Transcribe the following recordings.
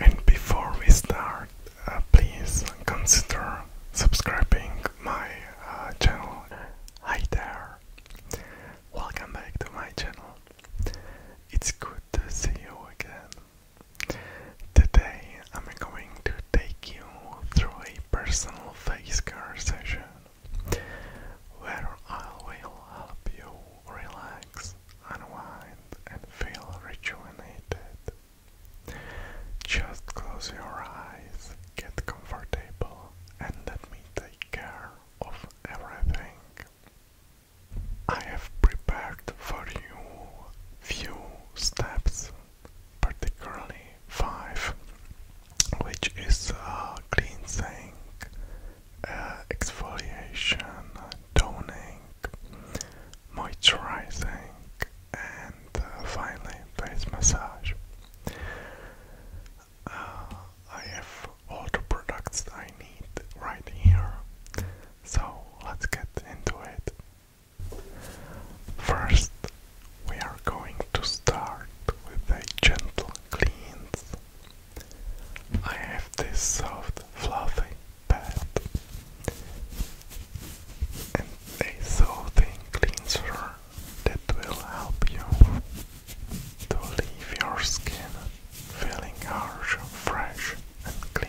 And before we start, uh, please consider subscribing my uh, channel. Hi there, welcome back to my channel. It's good to see you again. Today I'm going to take you through a personal face care session where I will help you relax unwind, and feel rejuvenated. Just close your eyes, get comfortable, and let me take care of everything. I have prepared for you few steps, particularly five, which is a cleansing, uh, exfoliation, toning, moisturizing, and uh, finally face massage. Uh, I have all the products I need right here, so let's get into it. First, we are going to start with a gentle cleanse. I have this soft, fluffy bed and a so cleanser that will help you to leave your skin feeling harsh, fresh and clean.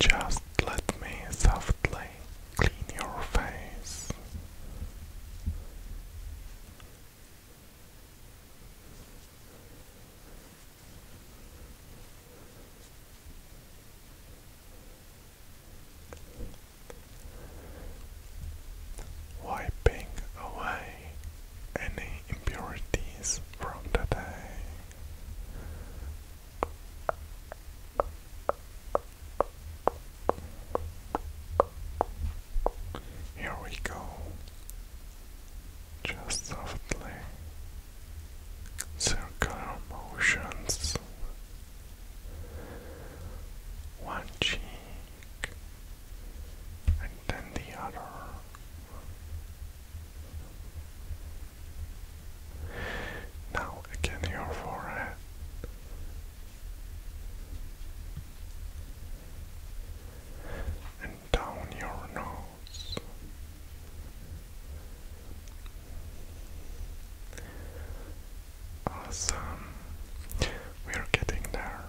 Just let me softly clean your face? Wiping away any impurities from the day. Here we go. Just softly. Circular motions. One cheek and then the other. Now again your forehead and down your nose. Awesome. We're getting there.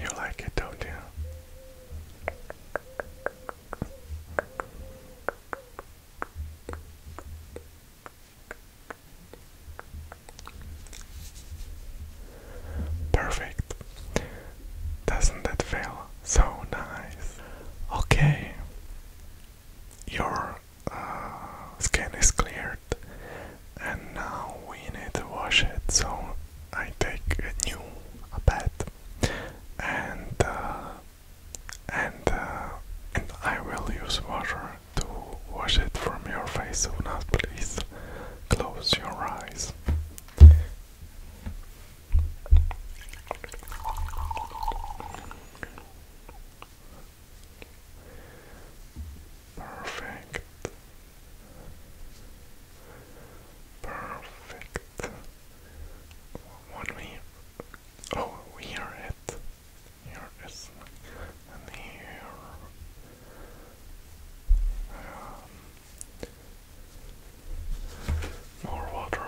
You like it, don't you? Perfect. Doesn't that feel so nice? Okay. Your uh, skin is cleared, and now we need to wash it. So I take a new a and uh, and uh, and I will use water to wash it from your face. So now please close your eyes. Perfect. Perfect. When we oh here it here is and more water.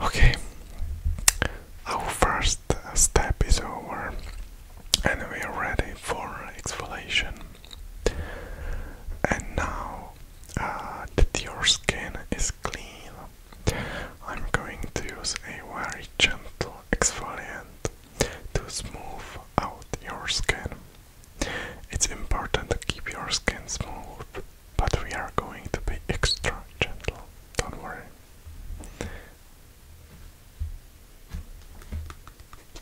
Okay, our first step is over, and we are ready for exfoliation. And now uh, that your skin is clean, I'm going to use a very gentle exfoliant to smooth out your skin. It's important to keep your skin smooth, but we are going to be extra gentle, don't worry.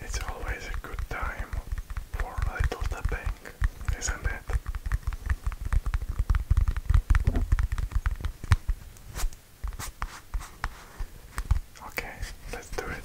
It's always a good time for a little tapping, isn't it? Okay, let's do it.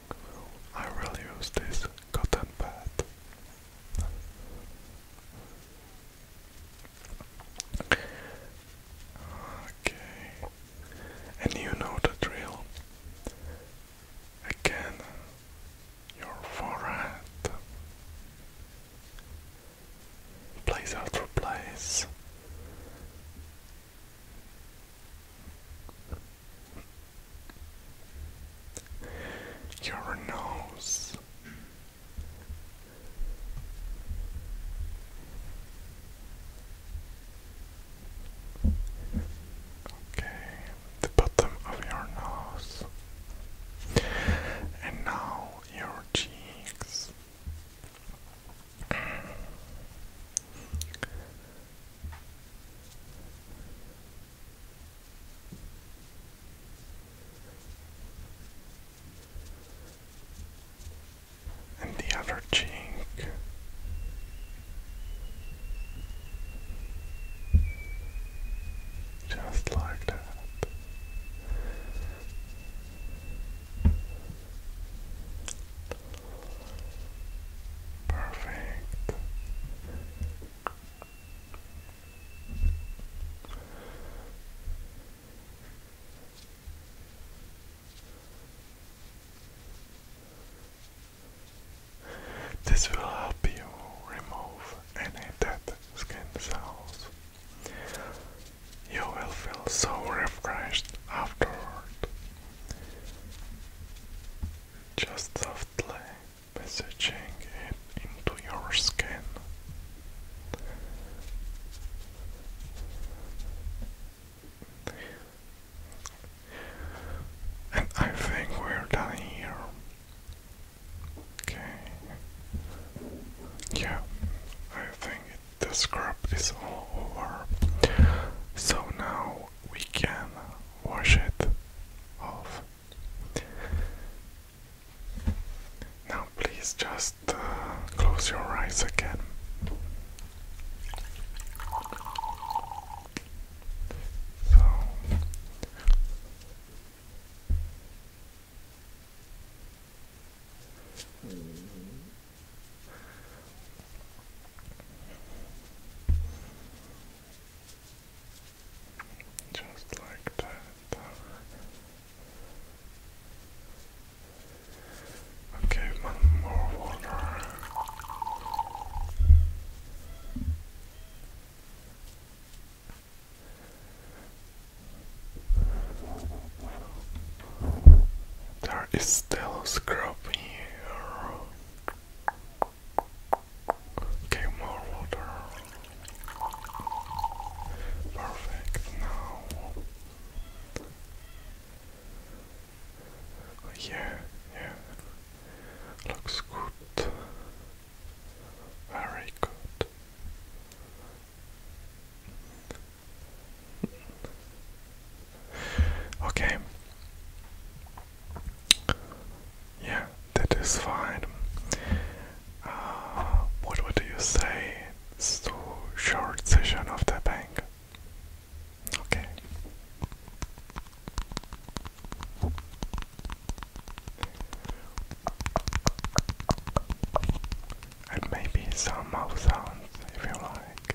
I will use this cotton pad. Okay, and you know the drill. Again, your forehead. Place after place. Your nose. Okay, the bottom of your nose. And now your cheeks. And the other cheek. Just like that. Perfect. This will help you remove any dead skin cells. You will feel so refreshed afterward. Just softly massaging it into your skin. And I think we're done here. Okay. Yeah, I think the scrub is all over. So now we can wash it off. Now, please just uh, close your eyes again. So, just like that. Okay, one more water. There is still a scrub here. Okay, more water. Perfect now. Yeah, yeah. Looks good. Very good. Okay. Yeah, that is fine. Uh, what would you say? It's short session of the bank. Okay. And maybe some mouth sounds if you like.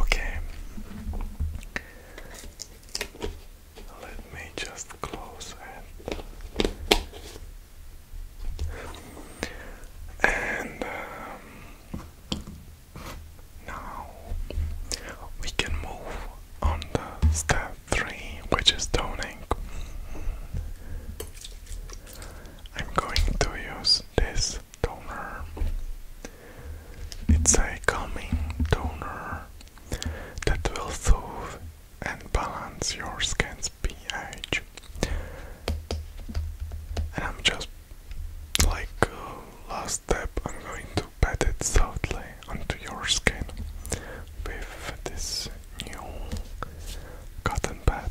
Okay. Let me just close it. And um, now we can move on the step three, which is toning. I'm going to use this toner. It's a calming toner that will soothe and balance your skin's pH. And I'm just like uh, last step, I'm going to pat it softly onto your skin with this new cotton pad.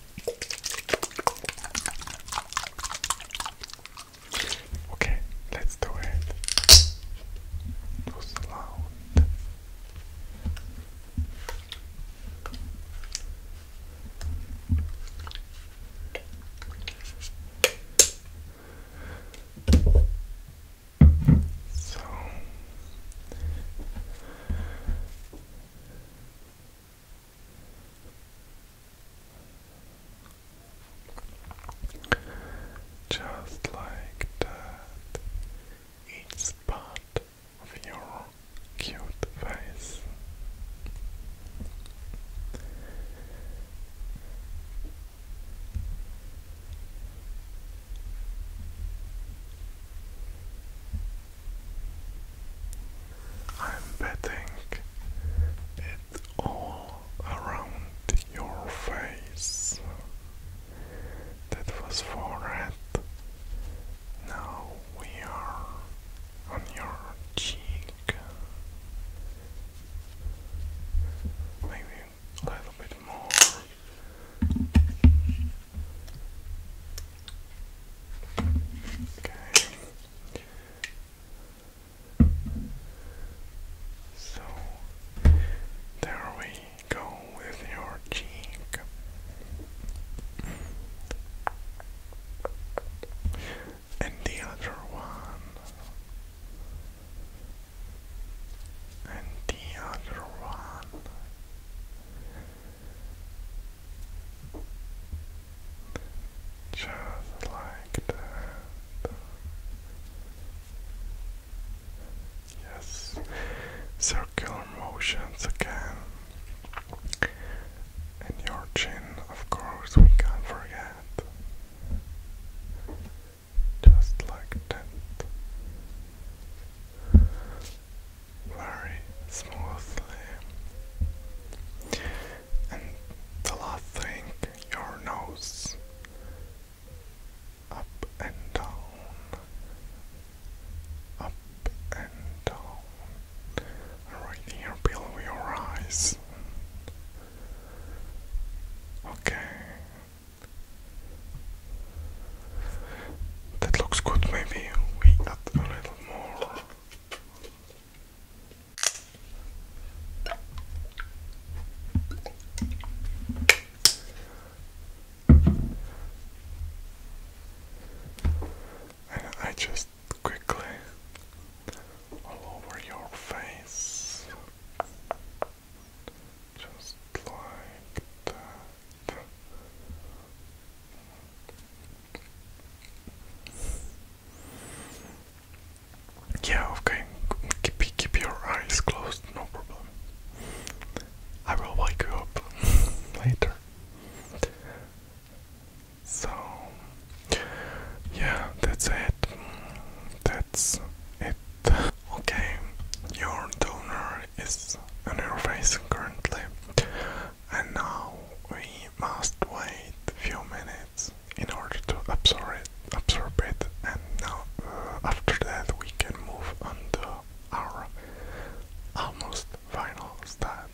Okay, let's do it. It So just like that, each part of your cute face. I'm betting it all around your face. That was for forehead. Now we are on your cheek. Maybe a little bit more. Okay. So there we go with your cheek. And the other one. And the other one. Just like that. Yes, circular motions again. And your chin, of course, we can't forget. Just like that very smoothly. And the last thing, your nose up and down, up and down, right here below your eyes. Okay. That looks good, maybe we add a little more. And I just quickly all over your face, just like that. Yeah, okay. Keep, keep your eyes closed, no problem. I will wake you up later. So, yeah, that's it. That's it. Okay, your donor is an interface currently and now we must wait a few minutes in order to absorb it, absorb it and now uh, after that we can move on to our almost final step.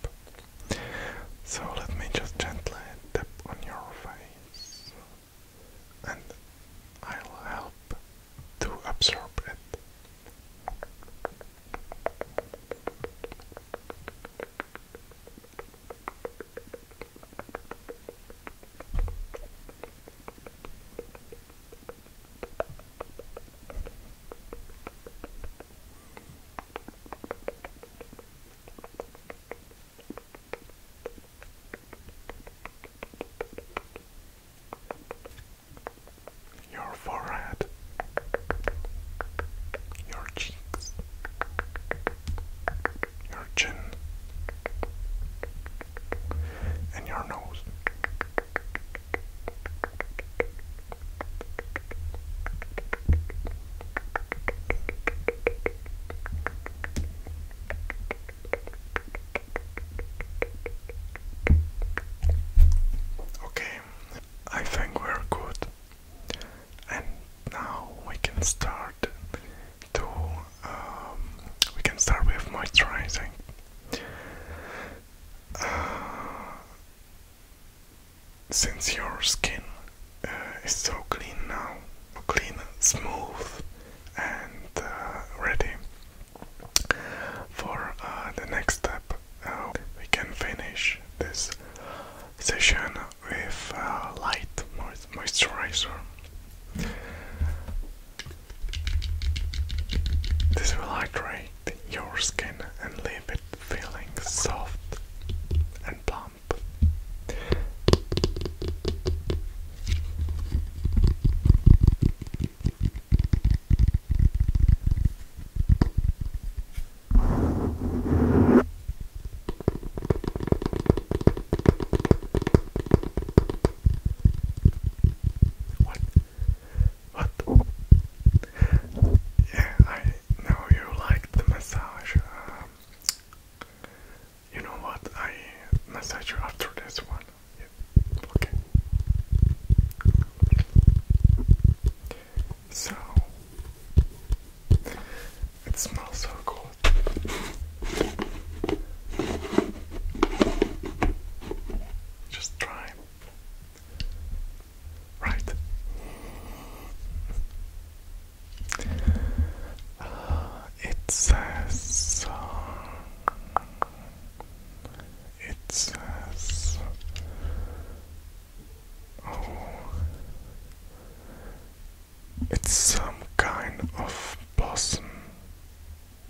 So let me just gently tap on your face and I'll help to absorb it. Your forehead your cheeks, your chin, and your nose. Okay, I think we're good and now we can start to um, we can start with moisturizing uh, since your skin uh, is so clean now clean smooth and uh, ready for the next uh, up, we can finish this session with a uh, light moisturizer. This will hydrate your skin and leave it feeling soft and plump. What? What? Yeah, I know you like the massage. Um, you know what? I massage you after this one. Okay. So it smells so good. Just try. Right. Uh, it says. Uh, it says Oh. It's some kind of blossom.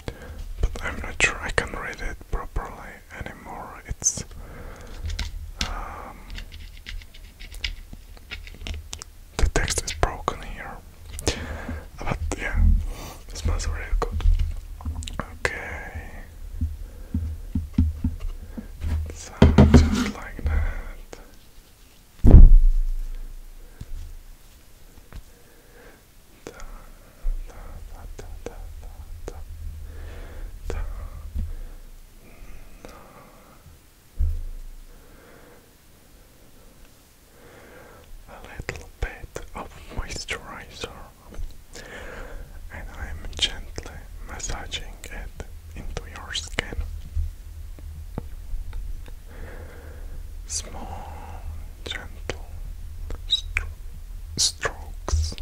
But I'm not sure I can read it properly anymore. It's. Um, the text is broken here. But yeah, it smells really good. Okay. So just like that. Da, da, da, da, da, da, da. A little bit of moisturizer, and I'm gently massaging it into your skin. Small, gentle strokes.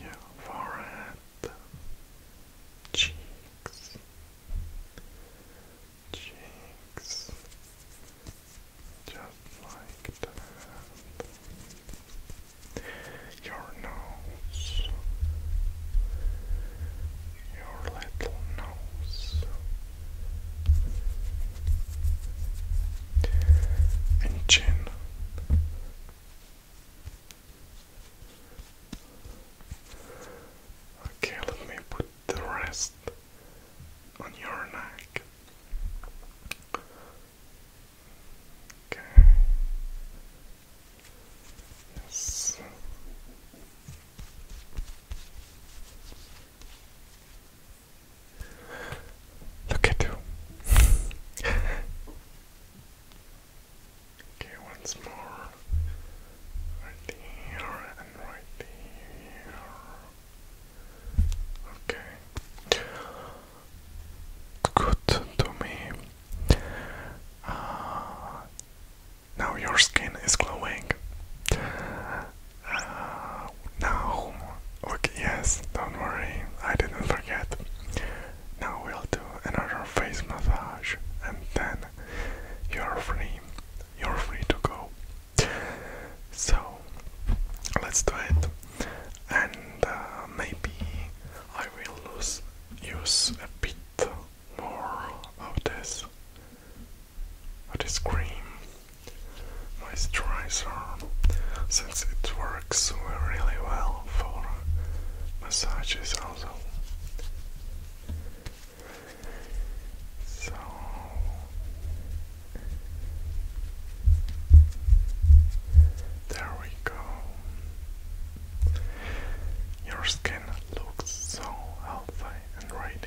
Your forehead, cheeks, cheeks, just like that. Your nose. Your little nose. And chin. Okay, let me put the rest on your neck. Okay. Yes. Look at you. okay, once more. Right here and right here. Okay. Good to me. Uh, now your skin is glowing. Uh, now, okay, yes, don't worry, I didn't forget. Now we'll do another face massage, and then you're free. You're free to go. So, let's do it and uh, maybe I will lose, use a bit more of this, this cream moisturizer since it works really well for massages also. So there we go. Your skin looks so healthy and radiant.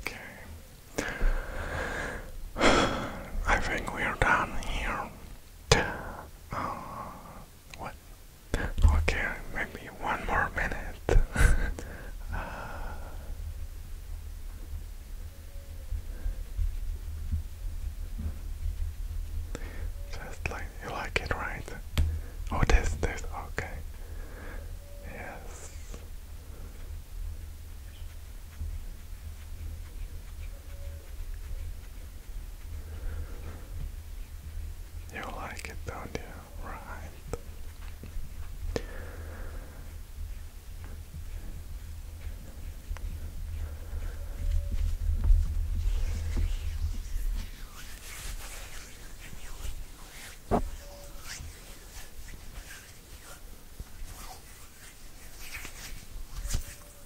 Okay. I think we're done here. Oh, what? Okay, maybe one more minute. uh, you like it, right? Oh, this, this, okay. Yes. You like it, don't you? Right.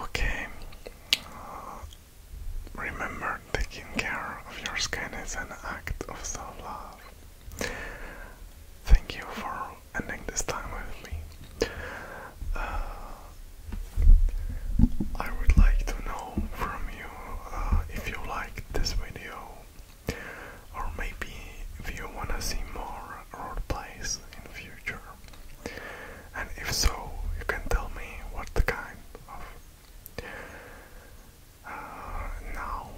Okay. Uh, remember, taking care of your skin is an act of love. Thank you for ending this time with me. Uh, I would like to know from you uh, if you liked this video, or maybe if you wanna see more more roleplays in future? And if so, you can tell me what the kind of. Uh, now,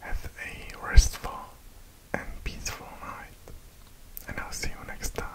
have a restful and peaceful night, and I'll see you next time.